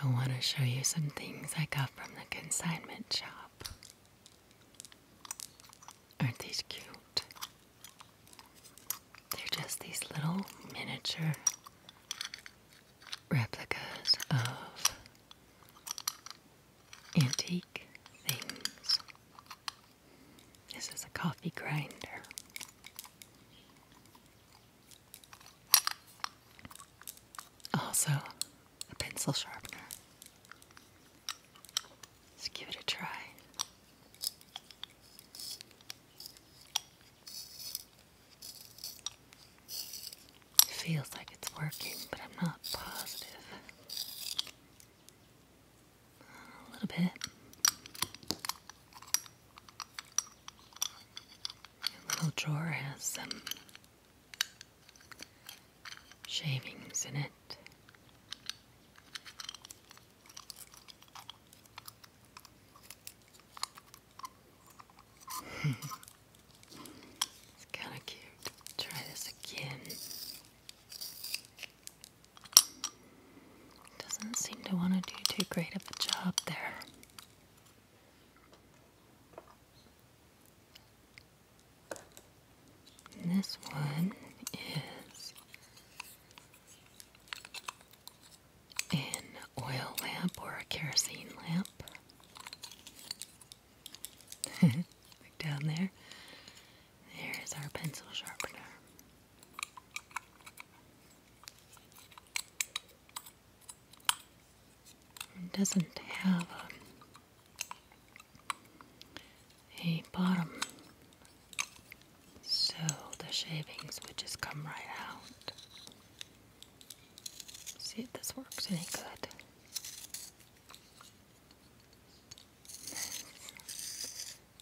I want to show you some things I got from the consignment shop. Aren't these cute? They're just these little miniature replicas of antique things. This is a coffee grinder. Also, a pencil sharpener. Let's give it a try. It feels like it's working, but I'm not positive a little bit. Your little drawer has some shavings in it. it's kind of cute. Try this again. Doesn't seem to want to do too great of a job there. And this one is an oil lamp or a kerosene lamp. Look down there. There's our pencil sharpener. It doesn't have a, bottom, so the shavings would just come right out. See if this works any good.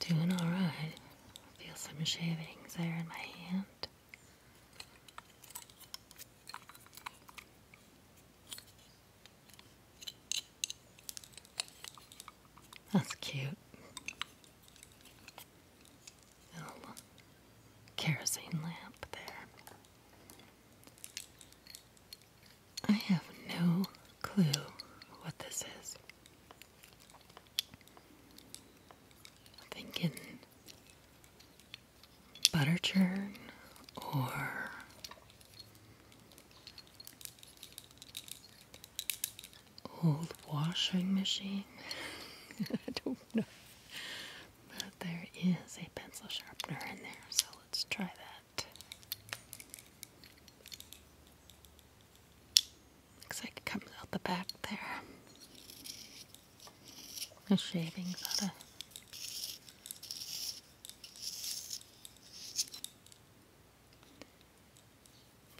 Doing alright. Feel some shavings there in my hand. That's cute. Little kerosene lamp there. I have no clue what this is. I'm thinking butter churn or old washing machine. I don't know. But there is a pencil sharpener in there, so let's try that. Looks like it comes out the back there. The shavings out of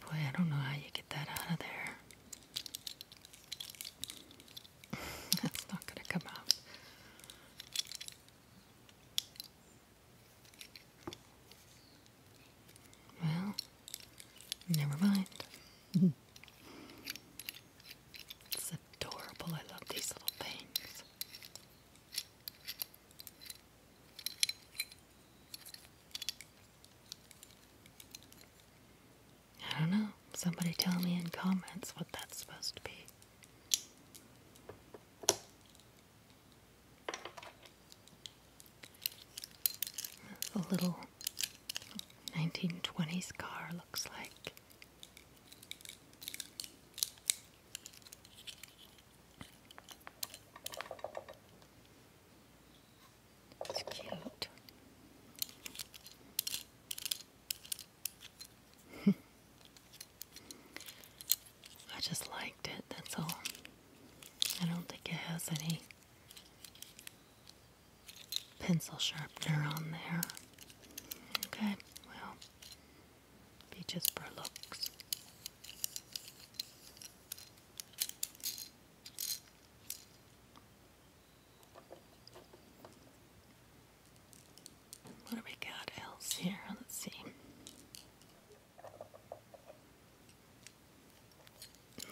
Boy, I don't know how you get that out of there. That's not gonna come out. Well, never mind. it's adorable. I love these little things. I don't know. Somebody tell me in comments what that's supposed to be. The little 1920s car looks like. It's cute. I just liked it, that's all. I don't think it has any pencil sharpener on there. Okay, well, be just for looks. What do we got else here? Let's see.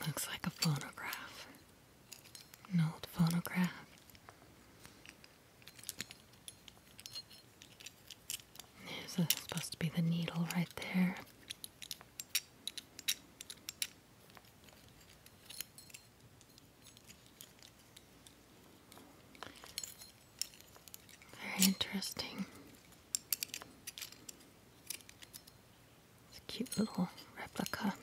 Looks like a phonograph. An old phonograph. There's a, supposed to be the needle right there. Very interesting. It's a cute little replica.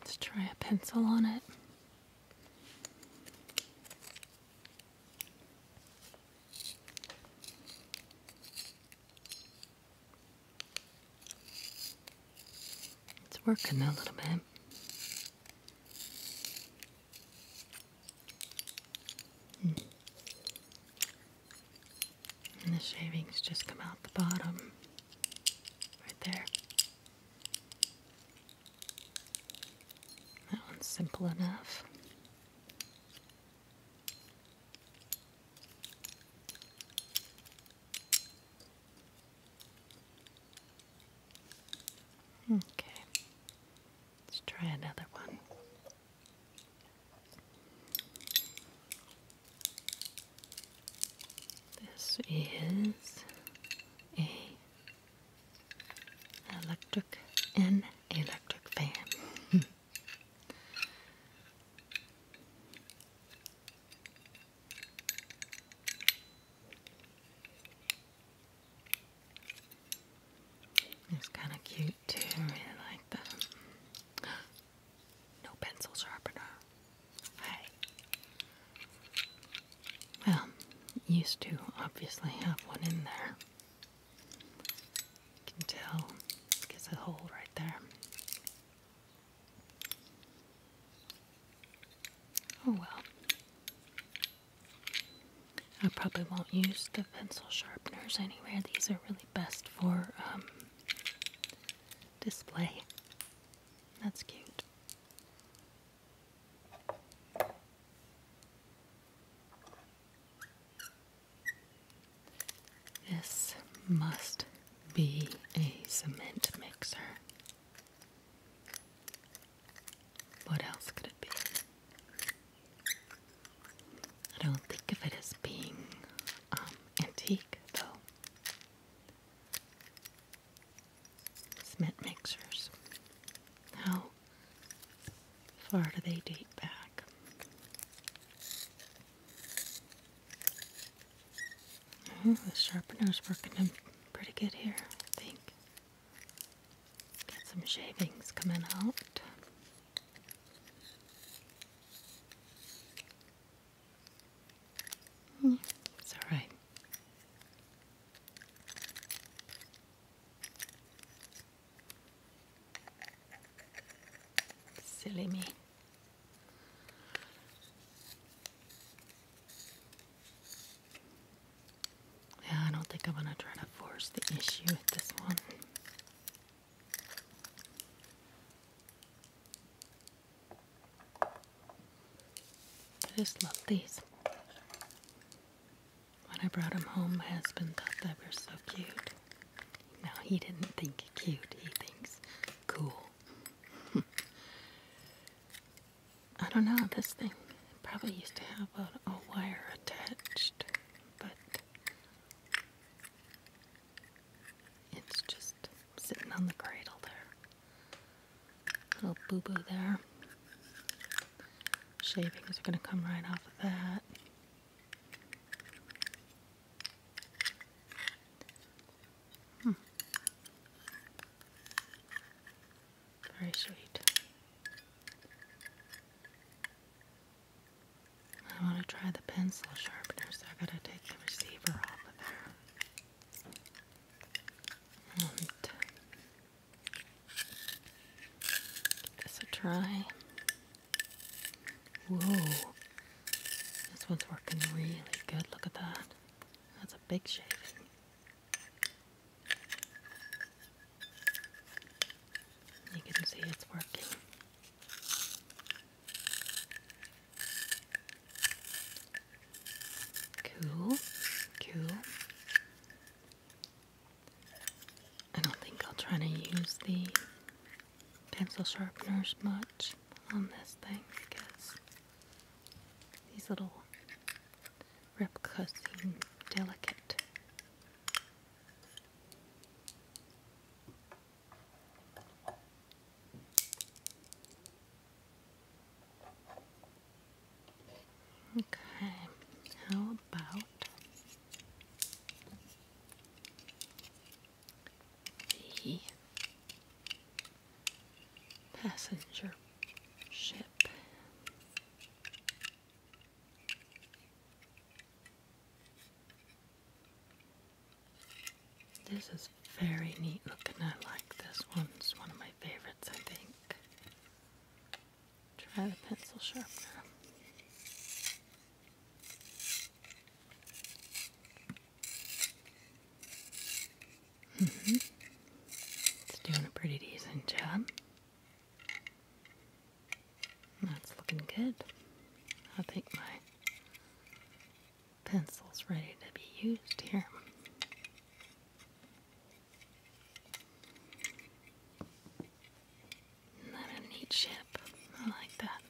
Let's try a pencil on it. It's working a little bit. Hmm. And the shavings just come out the bottom, right there. That one's simple enough. Hmm. Okay. Let's try another one. This is a electric an electric fan. It's kind of cute too. really like that. No pencil sharpener. Hey. Well, used to obviously have one in there. You can tell it gets a hole right there. Oh well. I probably won't use the pencil sharpeners anywhere. These are really best for um, display. That's cute. This must be a cement mixer. What else could it be? I don't think of it as being um, antique, though. Cement mixers. How far do they date back? Oh, the sharpener's working pretty good here, I think. Got some shavings coming out. Hmm, it's all right. Silly me. Yeah, I don't think I'm gonna try to force the issue with this one. I just love these. When I brought them home, my husband thought they were so cute. No, he didn't think cute, he thinks cool. I don't know, this thing Probably used to have a, wire attached, but it's just sitting on the cradle there. Little boo boo there. Shavings are going to come right off of that. Hmm. Very sweet. I want to try the pencil sharpener, so I gotta take the receiver off of there. And give this a try. Whoa. This one's working really good. Look at that. That's a big shaving. You can see it's working. Cool, cool. I don't think I'll try to use the pencil sharpeners much on this thing because these little replicas seem delicate Okay, how about the passenger ship? This is very neat looking. I like this one. It's one of my favorites, I think. Try the pencil sharpener. -hmm. It's doing a pretty decent job. That's looking good. I think my pencil's ready to be used here. And neat ship. I like that.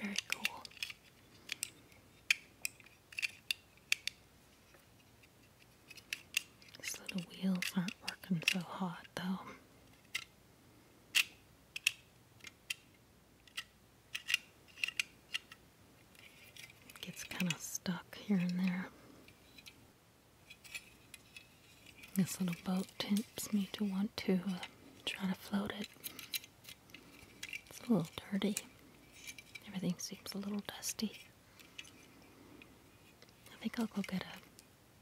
Very cool. These little wheels aren't working so hot though. gets kind of stuck here and there. This little boat tempts me to want to uh, try to float it. It's a little dirty. Everything seems a little dusty. I think I'll go get a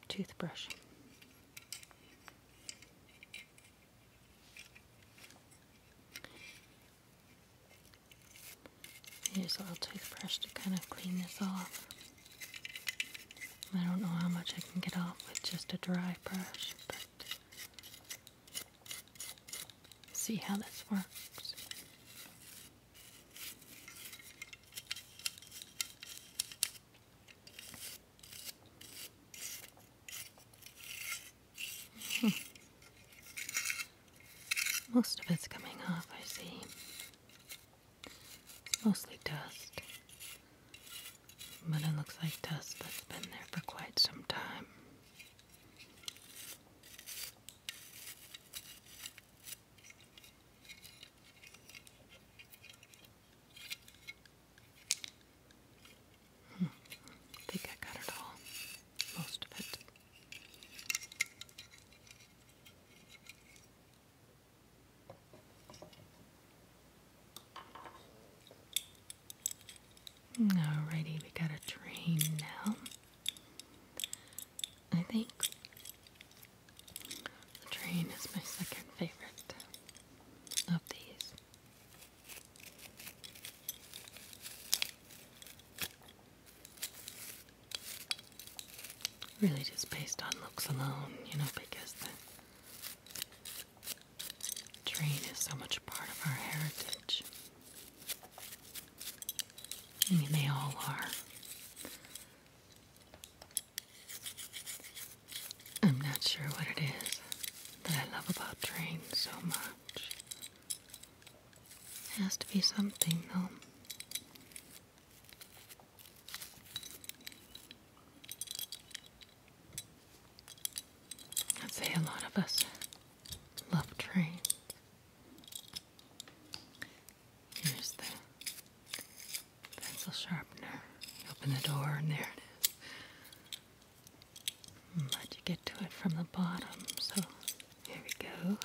toothbrush. Use a little toothbrush to kind of clean this off. I don't know how much I can get off with just a dry brush, but See how this works. Hmm. Most of it's coming off, I see. mostly dust. But it looks like dust that's been there for quite some time. Hmm. I think I got it all, most of it. Alrighty, we got a train now. I think the train is my second favorite of these. Really, just based on looks alone, you know, because the train is so much part of our heritage. I mean, they all are. I'm not sure what it is that I love about trains so much. It has to be something, though. I'd say a lot of us Love train. Here's the pencil sharpener. open the door and there it is. But you get to it from the bottom, so here we go.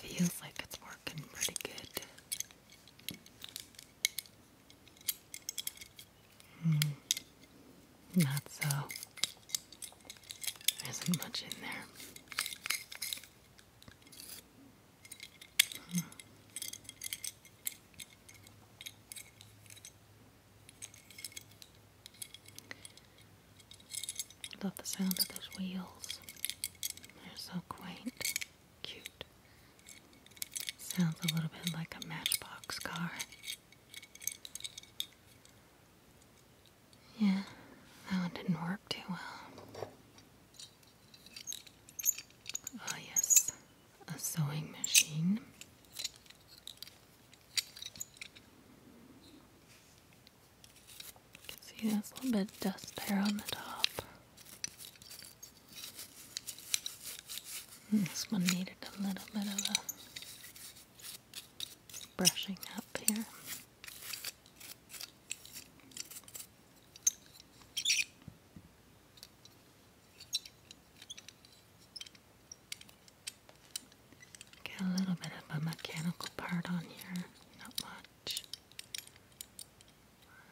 Feels like it's working pretty good. Hmm. not so. There isn't much in there. Hmm. Love the sound of those wheels. They're so quaint, cute. Sounds a little bit like a matchbox car. Yeah, that one didn't work too well. Ah, yes, a sewing machine. You can see there's a little bit of dust there on the top. This one needed a little bit of a brushing up here. Get a little bit of a mechanical part on here, not much.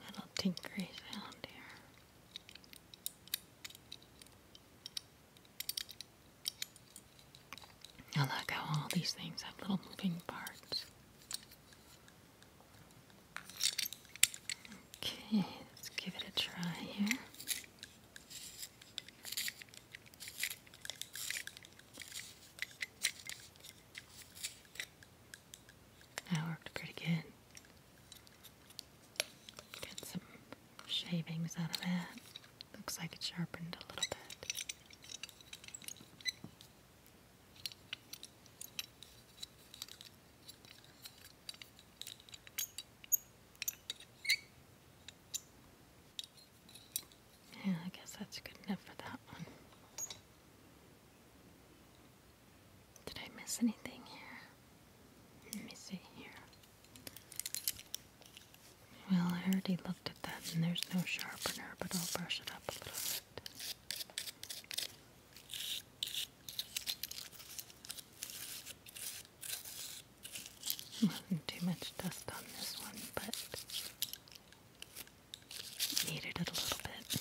little tinkery sound here. I like how all these things have little moving parts. Okay, let's give it a try here. That worked pretty good. Get some shavings out of that. Looks like it sharpened a little bit. Yeah, I guess that's good enough for that one. Did I miss anything here? Let me see here. Well, I already looked at that and there's no sharpener, but I'll brush it up a little bit. too much dust on this one, but needed it a little bit.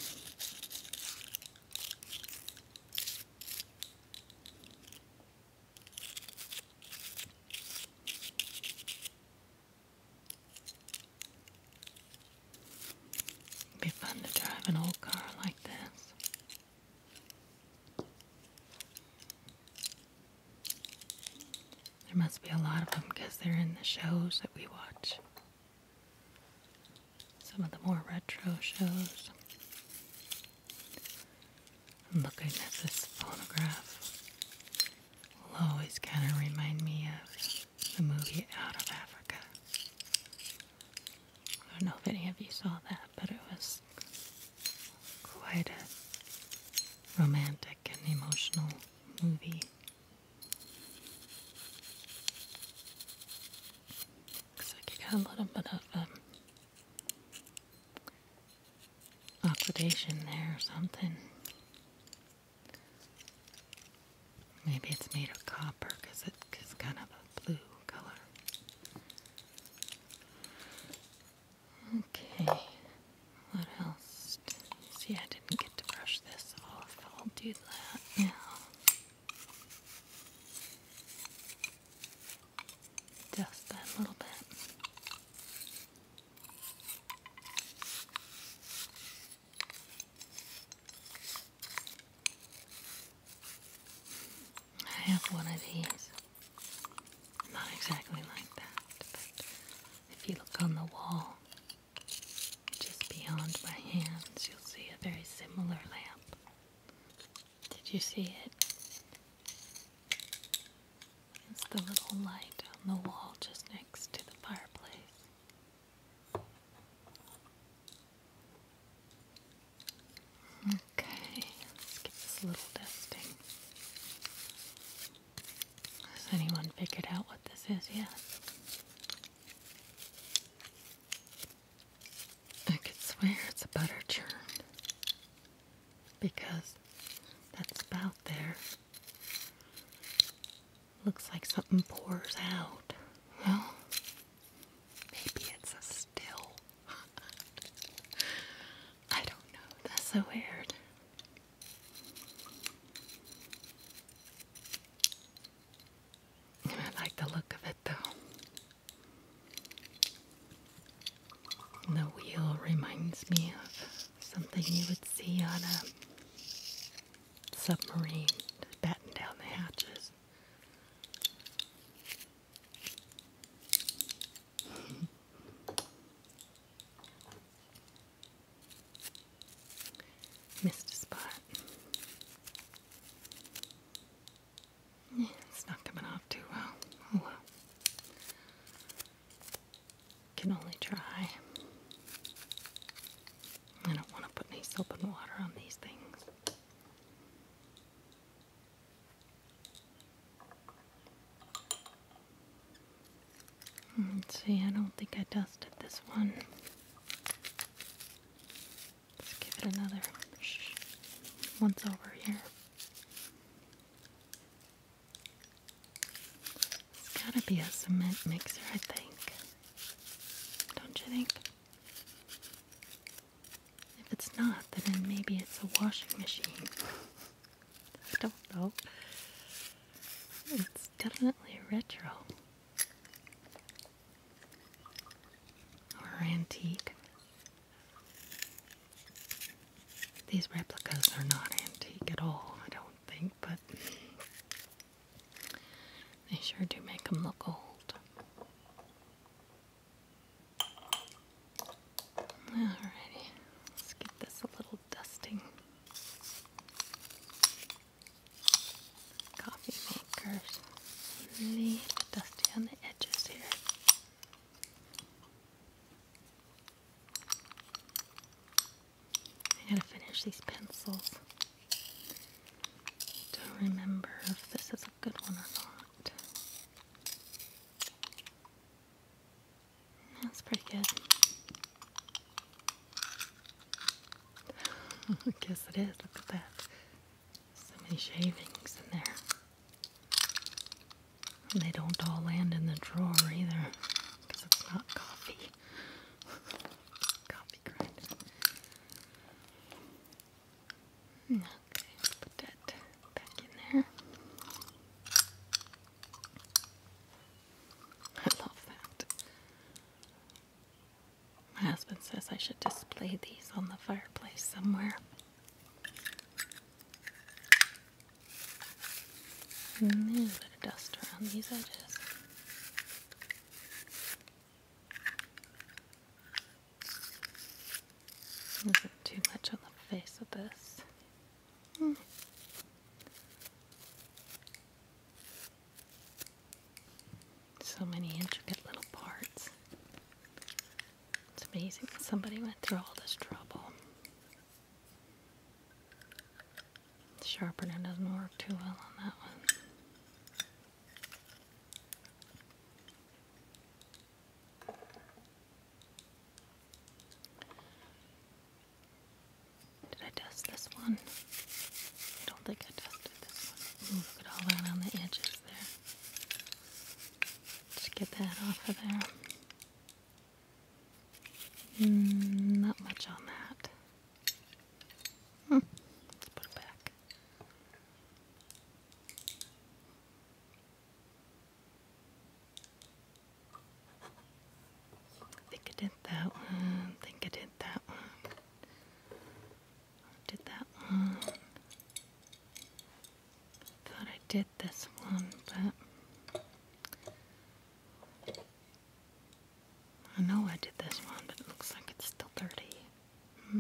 It'd be fun to drive an old car like this. There must be a lot of them because they're in the shows that we watch. Some of the more retro shows. Looking at this photograph will always kind of remind me of the movie Out of Africa. I don't know if any of you saw that, but it was quite a romantic and emotional movie. Looks like you got a little bit of um, oxidation there or something. Maybe it's made of copper because it is kind of a blue color. Okay, what else? See, I didn't get to brush this off. I'll do that now. Just a little bit. I have one of these. Not exactly like that, but if you look on the wall, just beyond my hands, you'll see a very similar lamp. Did you see it? It's the little light on the wall just next to the fireplace. Okay, let's get this little dusting. Has anyone figured out what this is yet? I could swear it's a butter churn because that's about there looks like something pours out. Well, maybe it's a still. I don't know. That's so weird. I like the look of it though. The wheel reminds me of something you would see on a submarine to batten down the hatches. Missed a spot it's not coming off too well. Oh, Can only try. I don't want to put any soap and water on these things. Let's see, I don't think I dusted this one. Let's give it another once over here. It's gotta be a cement mixer, I think. Don't you think? If it's not, then maybe it's a washing machine. I don't know. It's definitely retro. Or antique. These replicas are not antique at all, I don't think, but they sure do make them look old. Alrighty, let's give this a little dusting. Coffee makers, leave dusty on the edges here. I gotta finish these pencils. Don't remember if this is a good one or not. That's pretty good. guess it is. Look at that. So many shavings in there. And they don't all land in the drawer either, because it's not coffee. coffee grinder. Okay, put that back in there. I love that. My husband says I should display these on the fireplace somewhere. Mm, a little bit of dust around these edges. Isn't too much on the face of this. Hmm. So many intricate little parts. It's amazing somebody went through all this trouble. The sharpener doesn't work too well on that one. Did I dust this one? I don't think I dusted this one. look at all that on the edges there. Let's get that off of there. Hmm, not much on that. Hmm, let's put it back. I think I did that one. think I did that one did that one. Thought I did this one, but I know I did this one, but it looks like it's still dirty. Hmm.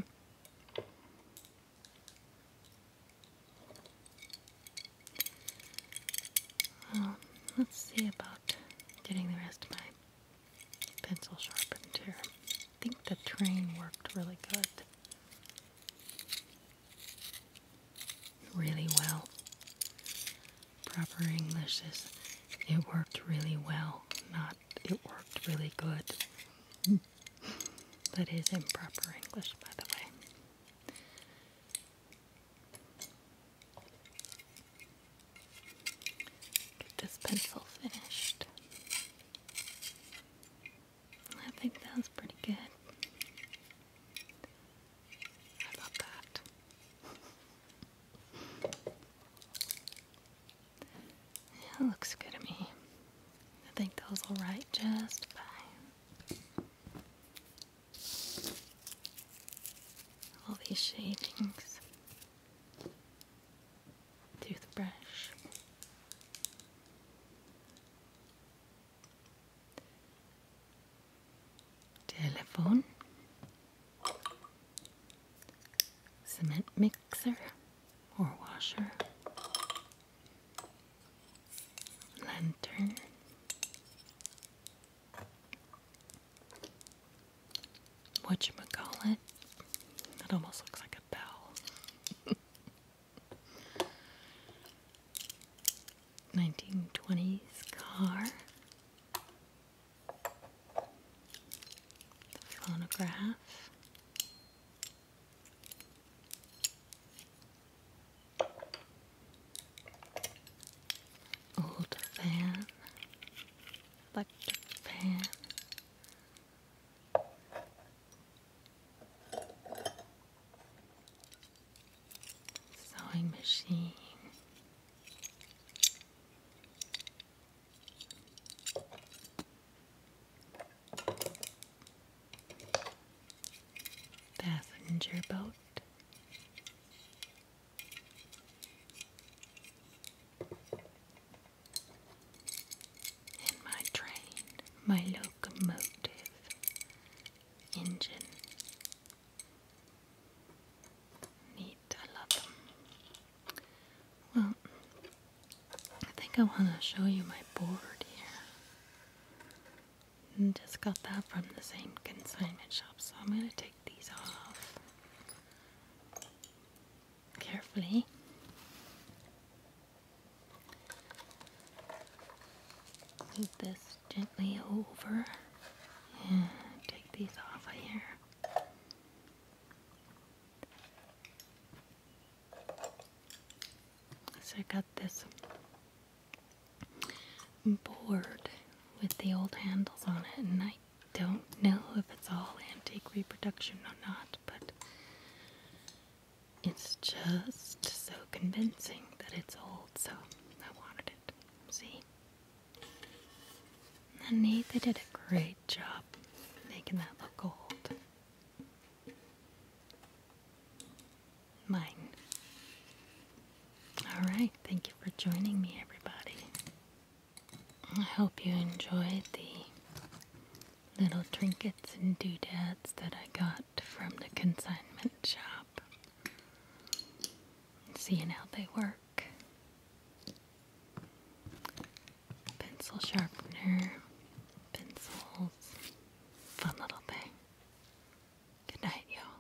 Well, let's see about getting the rest of my pencil sharpened here. I think the train worked really good really well. Proper English is it worked really well, not it worked really good. that is improper English, by the way. Get this pencil finished. I think that was pretty good. I love that. it looks good to me. I think those will write just fine. All these shadings toothbrush. Telephone. Cement mixer or washer. Lantern. what you Whatchamacallit? That almost looks like a bell. 1920s car, phonograph. Old fan, electric fan, sewing machine. Passenger boat. And my train, my locomotive engine. Neat, I love them. Well, I think I want to show you my board here. And mm, just got that from the same consignment shop, so I'm going to take these off carefully. Move this gently over and take these off of here. So I got this board with the old handles on it and I don't know if it's all antique reproduction or not, but it's just so convincing that it's old, so I wanted it. See? And they, did a great job making that look old. Mine. Alright, thank you for joining me, everybody. I hope you enjoyed the little trinkets and doodads that I got from the consignment shop. Seeing how they work. Pencil sharpener, pencils, fun little thing. Good night, y'all.